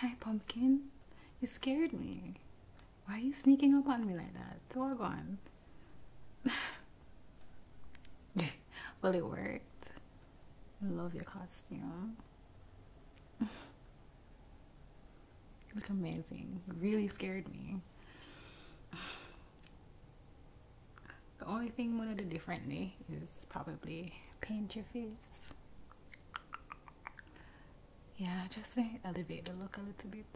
Hi, pumpkin. You scared me. Why are you sneaking up on me like that? Doggone. well, it worked. I love your costume. You look amazing. You really scared me. The only thing we did differently is probably paint your face. Yeah, just elevate the look a little bit.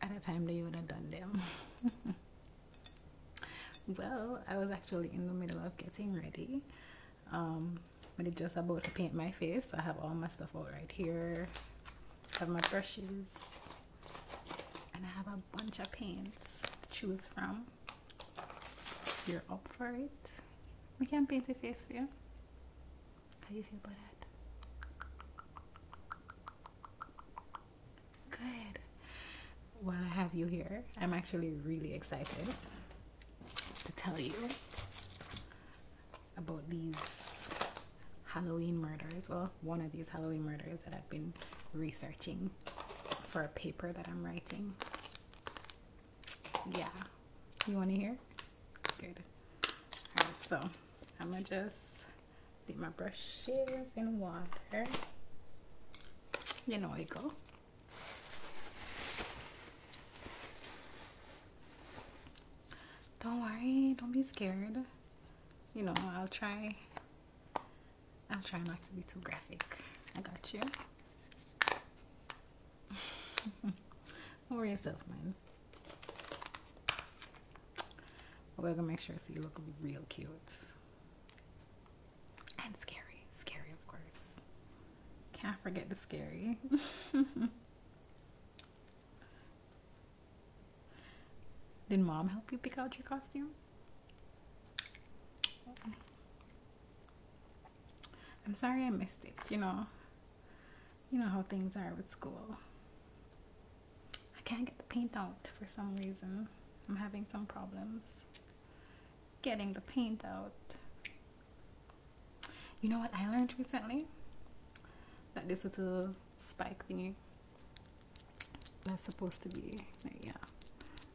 At a time that you would have done them. well, I was actually in the middle of getting ready um, but I'm just about to paint my face so I have all my stuff out right here have my brushes and I have a bunch of paints to choose from you're up for it we can paint a face for you how you feel about that good while I have you here I'm actually really excited to tell you about these Halloween murders. Well, one of these Halloween murders that I've been researching for a paper that I'm writing. Yeah. You want to hear? Good. so I'm going to just dip my brushes in water. You know how go. Don't worry, don't be scared. You know, I'll try I'll try not to be too graphic. I got you. Don't worry yourself, man. We're gonna make sure so you look real cute. And scary. Scary, of course. Can't forget the scary. Did mom help you pick out your costume? I'm sorry I missed it, you know. You know how things are with school. I can't get the paint out for some reason. I'm having some problems getting the paint out. You know what I learned recently? That this little spike thing that's supposed to be, yeah,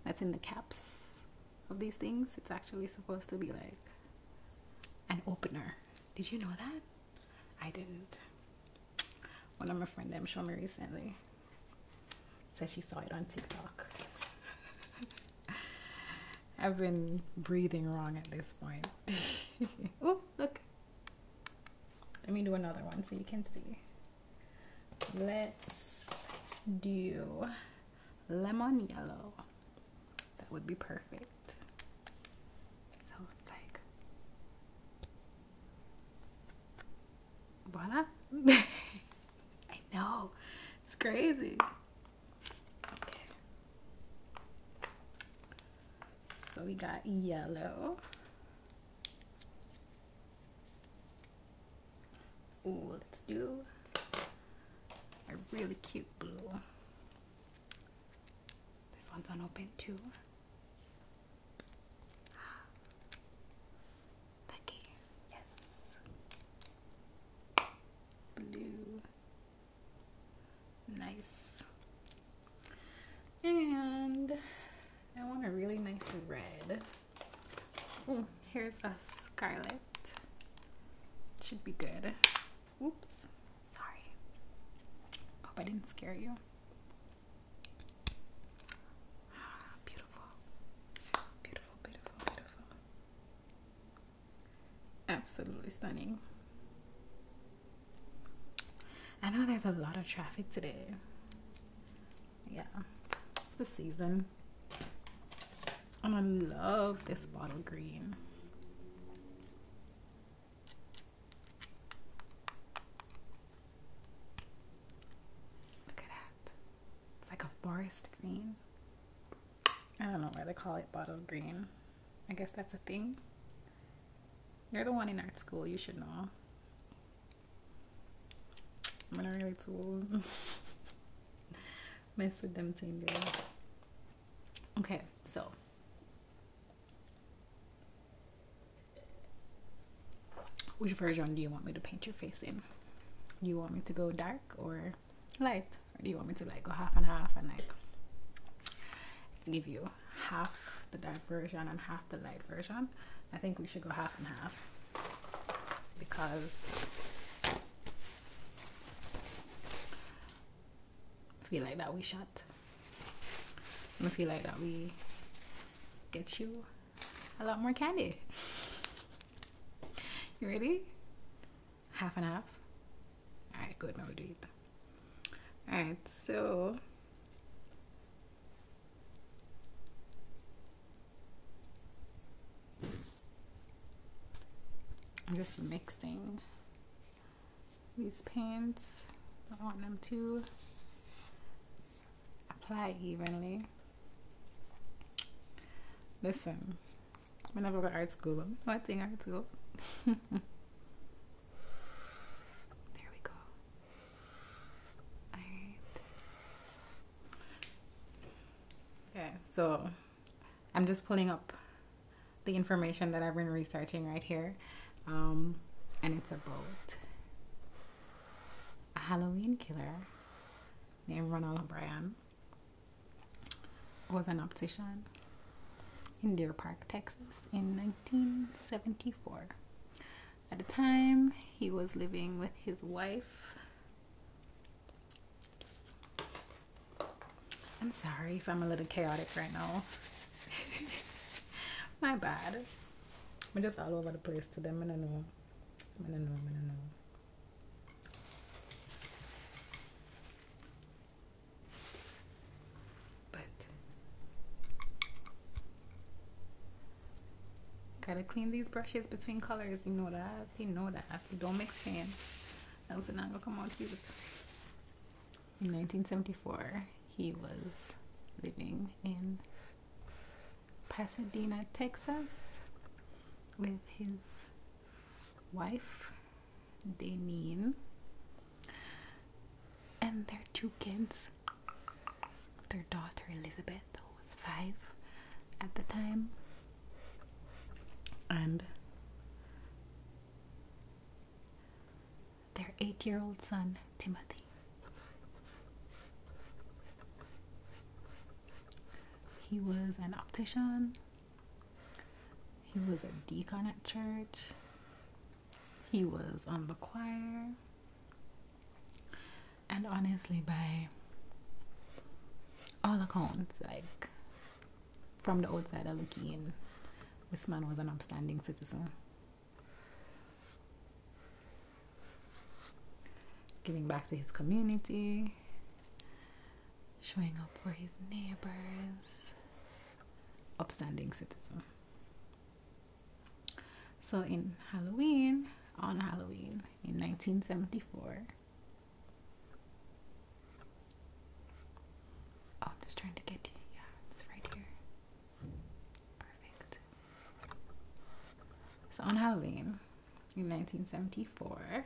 that's in the caps of these things. It's actually supposed to be like an opener. Did you know that? I didn't. One of my friends showed me recently said she saw it on TikTok. I've been breathing wrong at this point. oh, look. Let me do another one so you can see. Let's do lemon yellow. That would be perfect. So it's like, voila. I know. It's crazy. So we got yellow. Ooh, let's do a really cute blue. This one's unopened too. Lucky. Yes. Blue. Nice. And I want a really nice red. Oh, here's a scarlet. Should be good. Oops. Sorry. Hope I didn't scare you. Ah, beautiful. Beautiful, beautiful, beautiful. Absolutely stunning. I know there's a lot of traffic today. Yeah, it's the season. And I love this bottle green. Look at that. It's like a forest green. I don't know why they call it bottle green. I guess that's a thing. You're the one in art school, you should know. I'm not really too mess with them thing Okay, so which version do you want me to paint your face in? Do you want me to go dark or light do you want me to like go half and half and like give you half the dark version and half the light version i think we should go half and half because I feel like that we shut. i feel like that we get you a lot more candy. You ready? Half and half. Alright, good. Now we do it. Alright, so. I'm just mixing these paints. I want them to apply evenly. Listen, I never go to art school, but I know I think art school. there we go. Alright. so I'm just pulling up the information that I've been researching right here. Um, and it's about a Halloween killer named Ronald O'Brien was an optician in Deer Park, Texas in 1974. At the time, he was living with his wife. I'm sorry if I'm a little chaotic right now. My bad. I'm just all over the place today. I know. I know. I know. But gotta clean these brushes between colors. You know that. You know that. don't mix fans. Else it's not gonna come out cute. In 1974, he was living in Pasadena, Texas, with his wife, Deneen, and their two kids, their daughter Elizabeth, who was five at the time, and their eight year old son, Timothy. He was an optician. He was a deacon at church. He was on the choir. And honestly, by all accounts, like from the outsider looking in, this man was an upstanding citizen giving back to his community, showing up for his neighbors, upstanding citizen. So in Halloween, on Halloween in 1974, oh, I'm just trying to get yeah, it's right here. Perfect. So on Halloween, in 1974.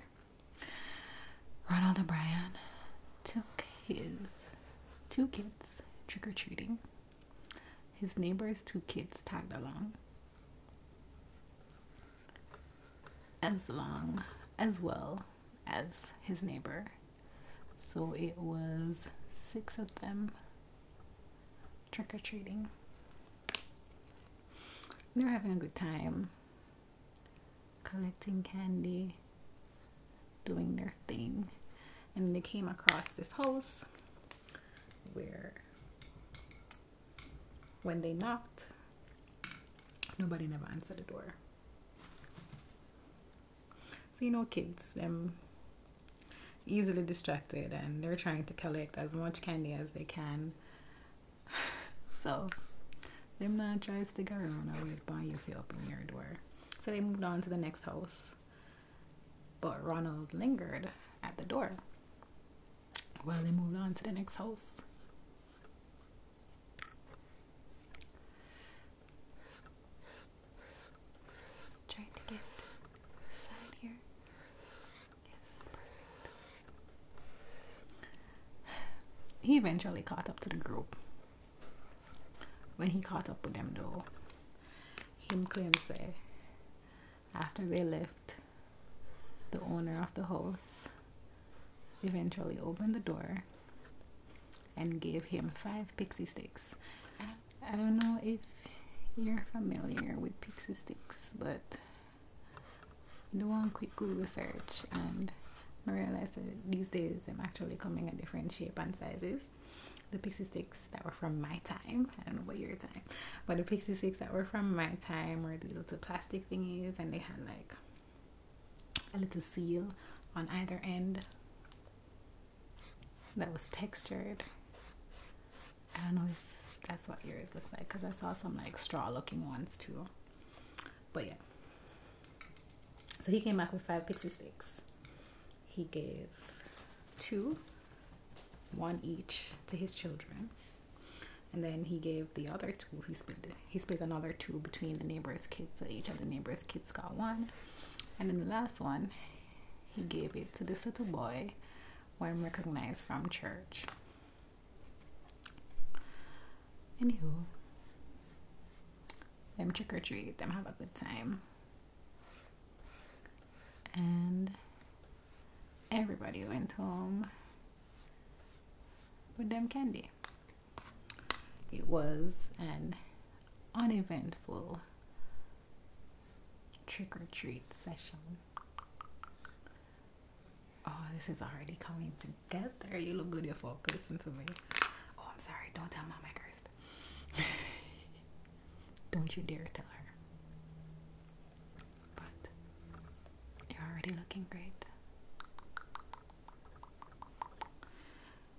Ronald O'Brien took his two kids trick or treating. His neighbor's two kids tagged along. As long as well as his neighbor. So it was six of them trick or treating. They're having a good time collecting candy, doing their thing. And they came across this house where when they knocked, nobody never answered the door. So you know kids, um easily distracted and they're trying to collect as much candy as they can. So them not try to stick around I wait by you if you open your door. So they moved on to the next house. But Ronald lingered at the door while they moved on to the next house. trying to get inside here. He eventually caught up to the group. When he caught up with them, though, him claims that after they left, the owner of the house eventually opened the door and gave him five pixie sticks. I don't know if you're familiar with pixie sticks, but do one quick Google search and I realized that these days I'm actually coming in different shapes and sizes. The pixie sticks that were from my time, I don't know about your time, but the pixie sticks that were from my time were these little plastic thingies and they had like a little seal on either end that was textured I don't know if that's what yours looks like because I saw some like straw looking ones too. But yeah. So he came back with five pixie sticks. He gave two, one each to his children. And then he gave the other two. He split he split another two between the neighbors' kids. So each of the neighbors' kids got one. And then the last one, he gave it to this little boy when recognized from church. Anywho, them trick or treat, them have a good time. And everybody went home with them candy. It was an uneventful trick or treat session. Oh, this is already coming together. You look good, you're folk. Listen to me. Oh, I'm sorry. Don't tell my I Don't you dare tell her. But you're already looking great.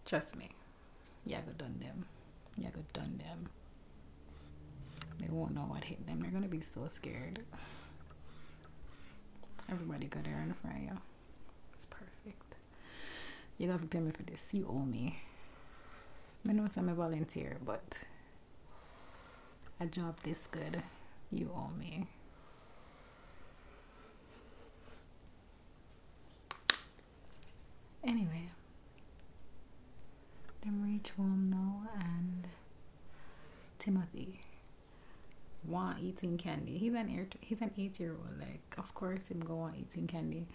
Trust me. Yeah, go done them. Yeah, go done them. They won't know what hit them. They're gonna be so scared. Everybody go there and front yo. It's perfect. You gotta prepare me for this. You owe me. I know I'm a volunteer, but a job this good, you owe me. Anyway, Demery Twomno and Timothy want eating candy. He's an eight, he's an eight year old. Like of course him go on eating candy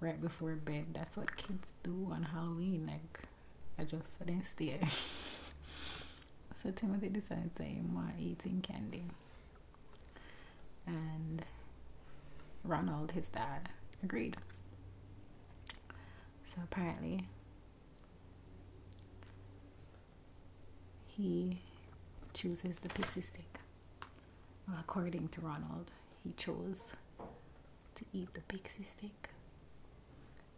right before bed. That's what kids do on Halloween. Like I just didn't stare. so Timothy decided to him want eating candy. And Ronald, his dad, agreed. So apparently, he chooses the pixie stick. according to Ronald, he chose to eat the pixie stick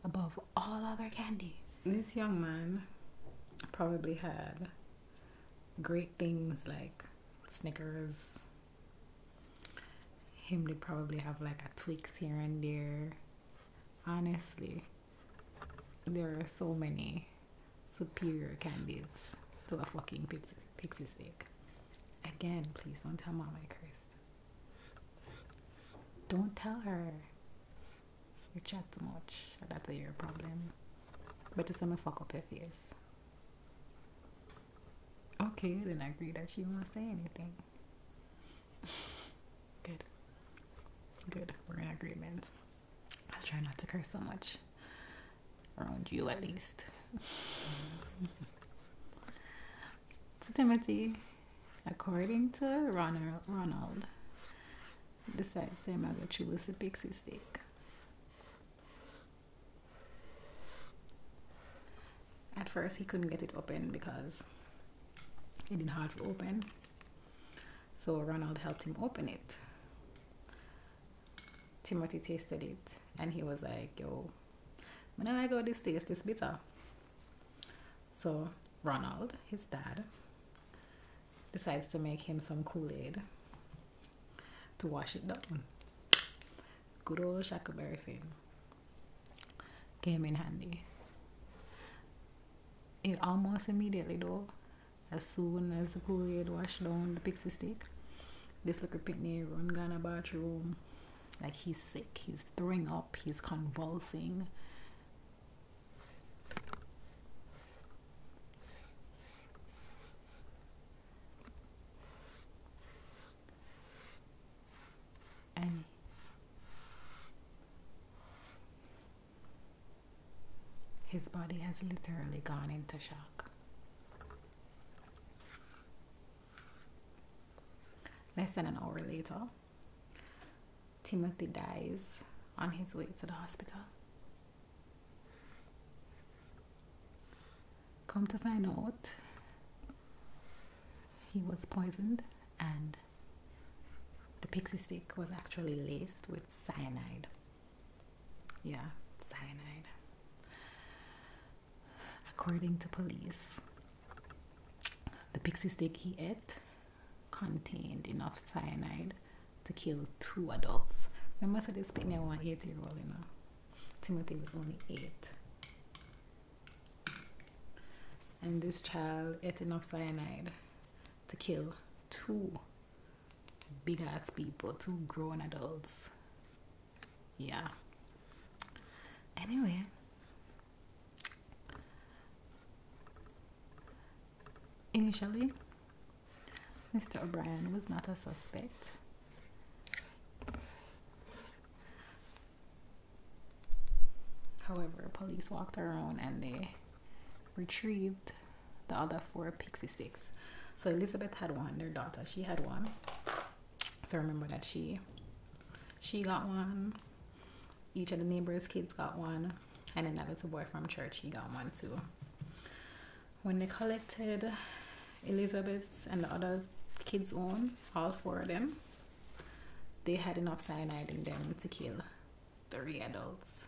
above all other candy. This young man probably had great things like Snickers, him to probably have like a tweaks here and there. Honestly, there are so many superior candies to a fucking pixie, pixie stick. Again, please don't tell mom I cursed. Don't tell her. You chat too much. That's a your problem. But it's gonna fuck up Okay, then I agree that she won't say anything. Good. Good. We're in agreement. I'll try not to curse so much. Around you at least. Timothy, according to Ronald, Ronald the sad time I got you was a big mistake. At first, he couldn't get it open because it didn't have to open. So Ronald helped him open it. Timothy tasted it and he was like, yo, when I got this taste, it's bitter. So Ronald, his dad, decides to make him some Kool-Aid to wash it down. Good old Shackleberry very Came in handy. It almost immediately though, as soon as the Kool-Aid washed down the pixie stick, this little pitney run gone a bathroom. Like he's sick, he's throwing up, he's convulsing. Annie. His body has literally gone into shock. Less than an hour later, Timothy dies on his way to the hospital. Come to find out, he was poisoned, and the pixie stick was actually laced with cyanide. Yeah, cyanide. According to police, the pixie stick he ate contained enough cyanide to kill two adults. Remember, so this speaking was eight year old, you know. Timothy was only eight. And this child ate enough cyanide to kill two big ass people, two grown adults. Yeah. Anyway. Initially, Mr. O'Brien was not a suspect. However, police walked around and they retrieved the other four pixie sticks. So Elizabeth had one, their daughter, she had one. So remember that she she got one. Each of the neighbors' kids got one. And then that little boy from church, he got one too. When they collected Elizabeth's and the other kids' own, all four of them, they had enough cyanide in them to kill three adults.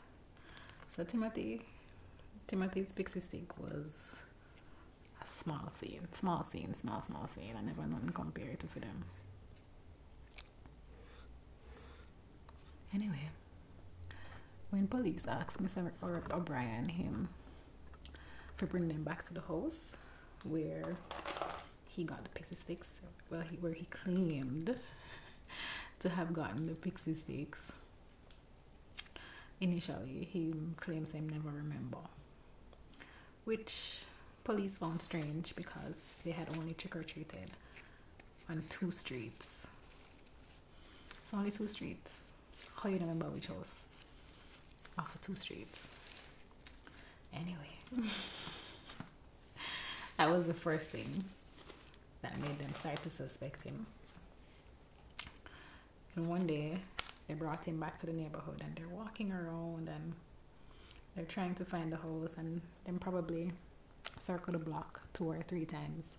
So Timothy, Timothy's pixie stick was a small scene, small scene, small, small scene. I never known compare it to them. Anyway, when police asked Mr. O'Brien him for bringing him back to the house where he got the pixie sticks. Well, where he claimed to have gotten the pixie sticks. Initially, he claims him never remember, which police found strange because they had only trick or treated on two streets. It's only two streets. How you remember which was after two streets. Anyway, that was the first thing that made them start to suspect him. And one day, they brought him back to the neighborhood and they're walking around and they're trying to find the house and then probably circle the block two or three times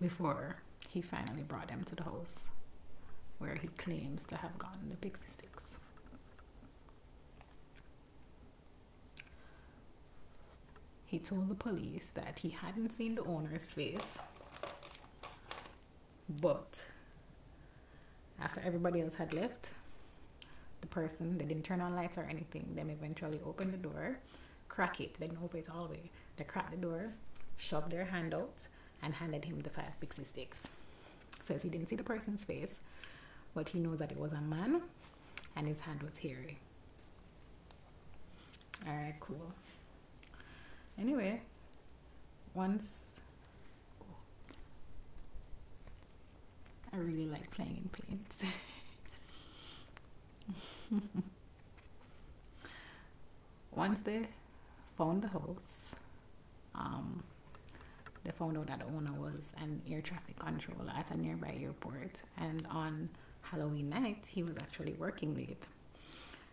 before he finally brought them to the house where he claims to have gotten the pixie sticks. He told the police that he hadn't seen the owner's face, but after everybody else had left, the person, they didn't turn on lights or anything, them eventually opened the door door, crack it, they open it all the way. They cracked the door, shoved their hand out, and handed him the five pixie sticks. Says he didn't see the person's face, but he knows that it was a man and his hand was hairy. Alright, cool. Anyway, once oh, I really like playing in planes. Once they found the house, um, they found out that the owner was an air traffic controller at a nearby airport. And on Halloween night, he was actually working late.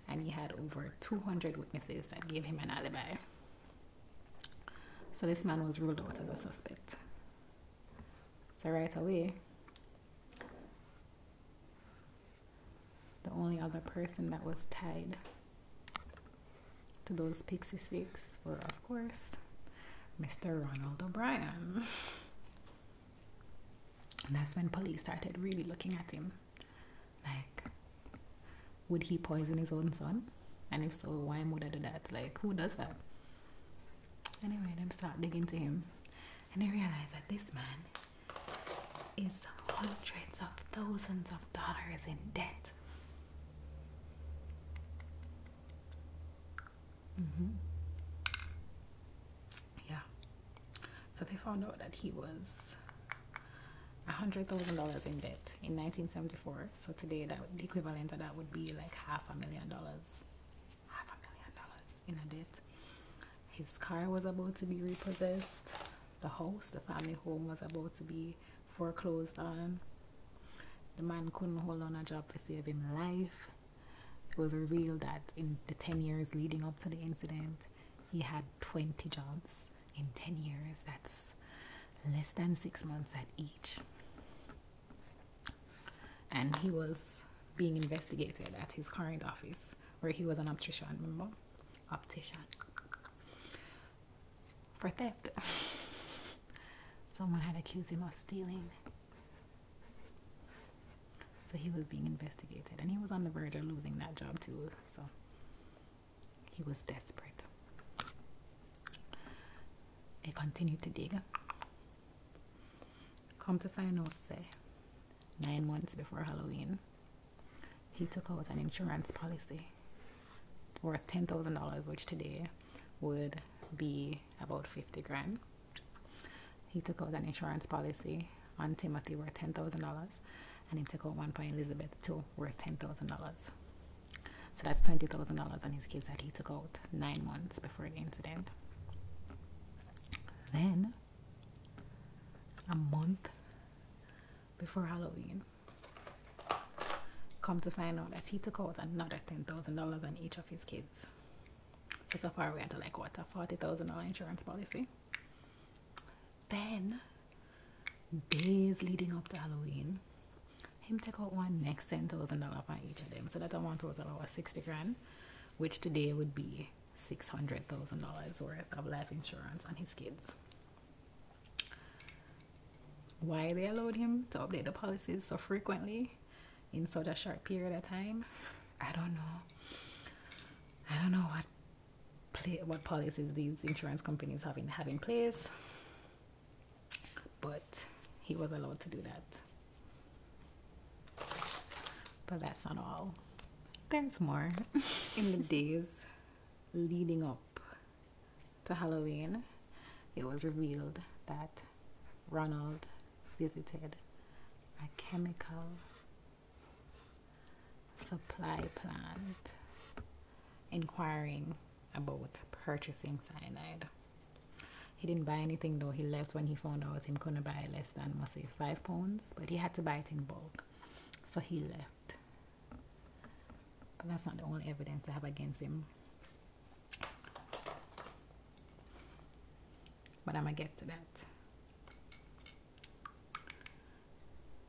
And he had over 200 witnesses that gave him an alibi. So this man was ruled out as a suspect. So right away, the only other person that was tied to those Pixie sticks were, of course, Mr. Ronald O'Brien. that's when police started really looking at him. Like, would he poison his own son? And if so, why would I do that? Like, who does that? Anyway, them start digging to him. And they realize that this man is hundreds of thousands of dollars in debt. Mm-hmm. Yeah. So they found out that he was hundred thousand dollars in debt in 1974. So today, that the equivalent of that would be like half a million dollars half a million dollars in a debt. His car was about to be repossessed. The house, the family home, was about to be foreclosed on. The man couldn't hold on a job to save him life. It was revealed that in the 10 years leading up to the incident, he had 20 jobs in 10 years. That's less than six months at each. And he was being investigated at his current office where he was an optician, remember? Optician. For theft. Someone had accused him of stealing. So he was being investigated and he was on the verge of losing that job too. So he was desperate. They continued to dig Come to find out, say, nine months before Halloween, he took out an insurance policy worth ten thousand dollars, which today would be about fifty grand. He took out an insurance policy on Timothy worth ten thousand dollars, and he took out one for Elizabeth too worth ten thousand dollars. So that's twenty thousand dollars on his kids that he took out nine months before the incident. Then a month before Halloween. Come to find out that he took out another ten thousand dollars on each of his kids. So so far we had to like what a forty thousand dollar insurance policy. Then days leading up to Halloween, him took out one next ten thousand dollar on each of them. So that's a one total of sixty grand, which today would be $600,000 worth of life insurance on his kids. Why they allowed him to update the policies so frequently in such a short period of time, I don't know. I don't know what play, what policies these insurance companies have in, have in place, but he was allowed to do that. But that's not all. There's more. In the days leading up to Halloween, it was revealed that Ronald visited a chemical supply plant inquiring about purchasing cyanide. He didn't buy anything though. He left when he found out him couldn't buy less than, must say, five pounds. But he had to buy it in bulk. So he left. But that's not the only evidence I have against him. But I'm going to get to that.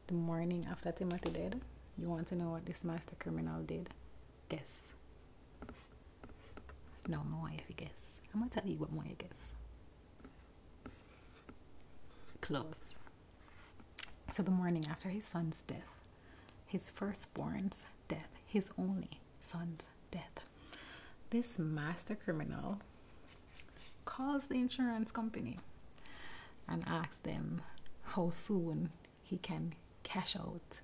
The morning after Timothy died, you want to know what this master criminal did? Guess. No, more, if you guess. I'm gonna tell you what more I guess. Close. So the morning after his son's death, his firstborn's death, his only son's death, this master criminal calls the insurance company and asks them how soon he can cash out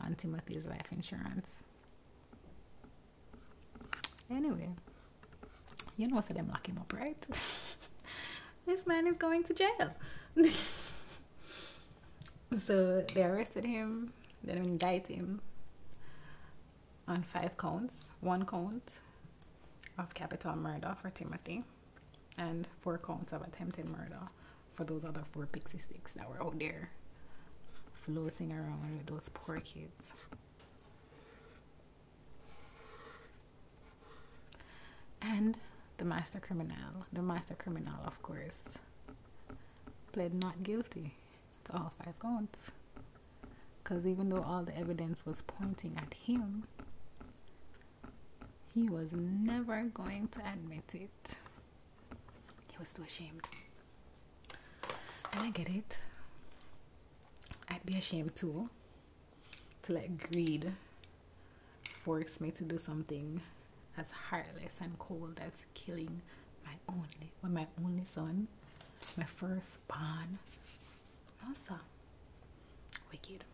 on Timothy's life insurance. Anyway, you know, so them lock him up, right? this man is going to jail. so they arrested him, they indict him on five counts, one count of capital murder for Timothy, and four counts of attempted murder for those other four pixie sticks that were out there floating around with those poor kids. And the master criminal, the master criminal, of course, pled not guilty to all five counts. Because even though all the evidence was pointing at him, he was never going to admit it. He was too ashamed. And I get it. I'd be ashamed too to let greed force me to do something as heartless and cold as killing my only my only son, my first born. Also, Wicked.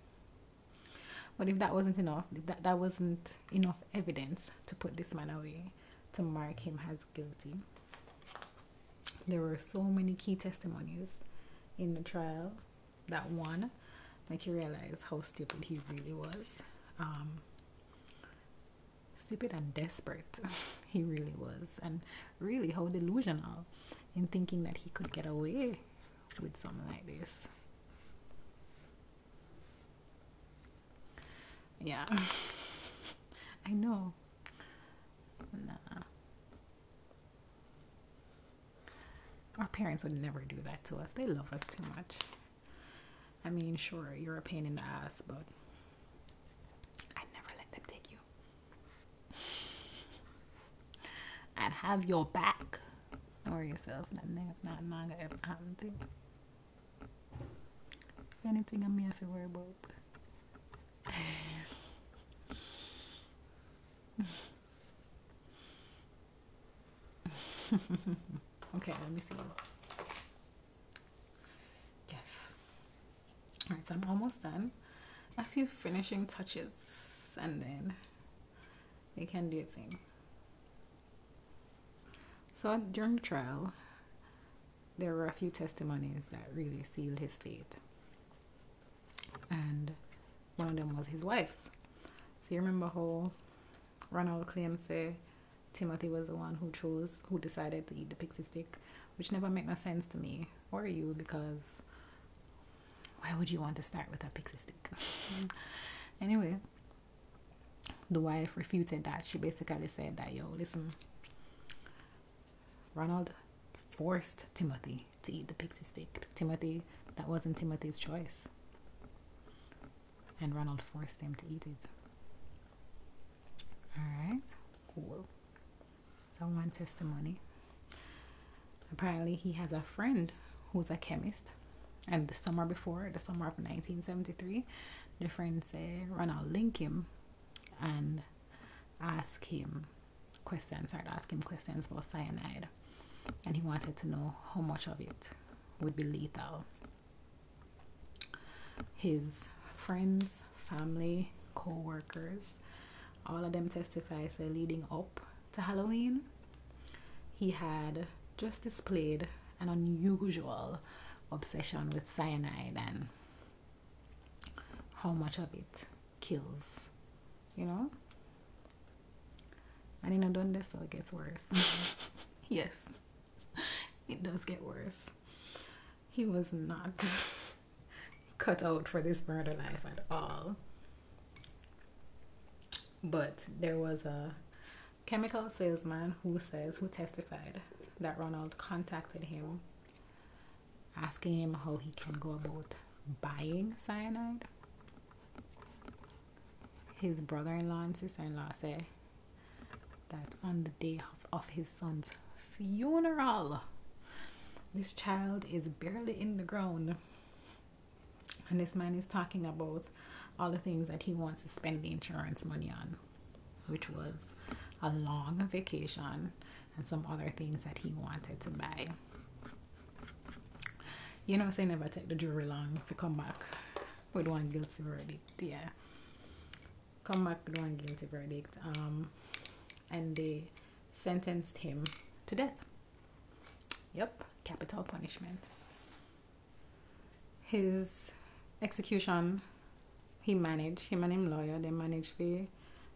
But if that wasn't enough, if that, that wasn't enough evidence to put this man away, to mark him as guilty. There were so many key testimonies in the trial that one make you realize how stupid he really was. Um, stupid and desperate he really was, and really how delusional in thinking that he could get away with something like this. Yeah. I know. Nah. Our parents would never do that to us. They love us too much. I mean, sure, you're a pain in the ass, but I'd never let them take you. I'd have your back. Or yourself. Not, not, not, not, not, if anything, i may have to worry about. okay, let me see. Yes. Alright, so I'm almost done. A few finishing touches and then you can do it same. So during the trial, there were a few testimonies that really sealed his fate. And one of them was his wife's. So you remember how Ronald claims say Timothy was the one who chose, who decided to eat the pixie stick, which never made no sense to me or you because why would you want to start with a pixie stick? anyway, the wife refuted that. She basically said that, yo, listen, Ronald forced Timothy to eat the pixie stick. Timothy, that wasn't Timothy's choice. And Ronald forced him to eat it. Alright, cool. So, one testimony. Apparently, he has a friend who's a chemist. And the summer before, the summer of 1973, Different, say run out link him and ask him questions started asking questions about cyanide and he wanted to know how much of it would be lethal his friends family co-workers all of them testified. say leading up to halloween he had just displayed an unusual obsession with cyanide and how much of it kills, you know? I didn't know done this, so it gets worse. yes, it does get worse. He was not cut out for this murder life at all. But there was a chemical salesman who says who testified that Ronald contacted him asking him how he can go about buying cyanide. His brother in law and sister in law say that on the day of, his son's funeral, this child is barely in the ground. And this man is talking about all the things that he wants to spend the insurance money on which was a long vacation and some other things that he wanted to buy. You know, I never take the jury long if you come back with one guilty verdict. Yeah, come back with one guilty verdict. Um, and they sentenced him to death. Yep, capital punishment his execution he managed He managed lawyer they managed to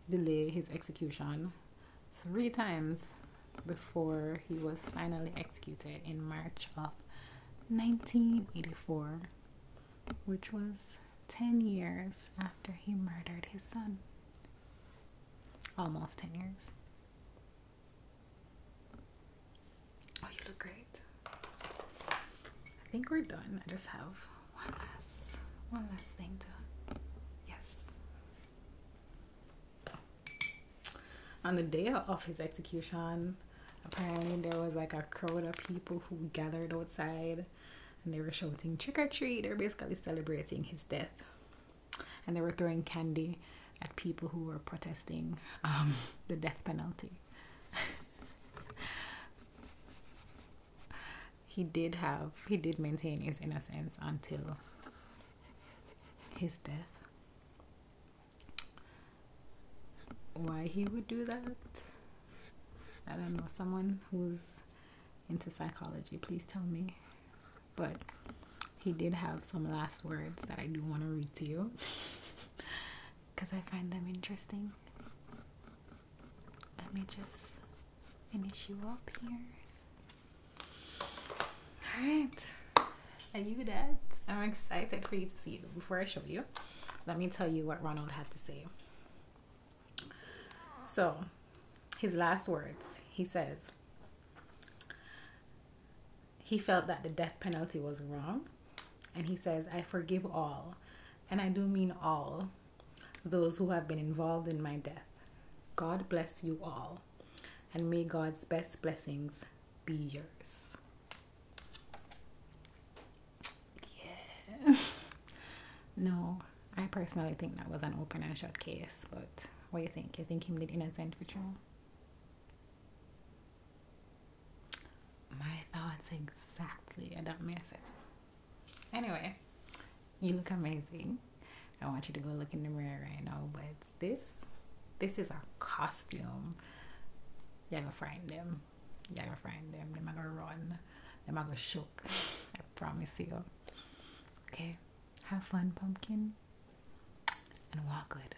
delay his execution three times before he was finally executed in march of 1984 which was 10 years after he murdered his son almost 10 years Oh, you look great. I think we're done. I just have one last one last thing to yes. On the day of his execution, apparently there was like a crowd of people who gathered outside and they were shouting trick or treat. They're basically celebrating his death. And they were throwing candy at people who were protesting um, the death penalty. he did have he did maintain his innocence until his death. Why he would do that? I don't know. Someone who's into psychology, please tell me. But he did have some last words that I do want to read to you because I find them interesting. Let me just finish you up here. Alright, are you dead? I'm excited for you to see it. Before I show you, let me tell you what Ronald had to say. So, his last words he says, he felt that the death penalty was wrong. And he says, I forgive all, and I do mean all, those who have been involved in my death. God bless you all, and may God's best blessings be yours. Yeah. no, I personally think that was an open and shut case, but what do you think? You think him did innocent for trial? My thoughts exactly. I don't miss it. Anyway, you look amazing. I want you to go look in the mirror right now, but this this is a costume. You're gonna find them. You're gonna find them. They're gonna run. They're gonna shook. I promise you. Okay. Have fun, pumpkin. And walk good.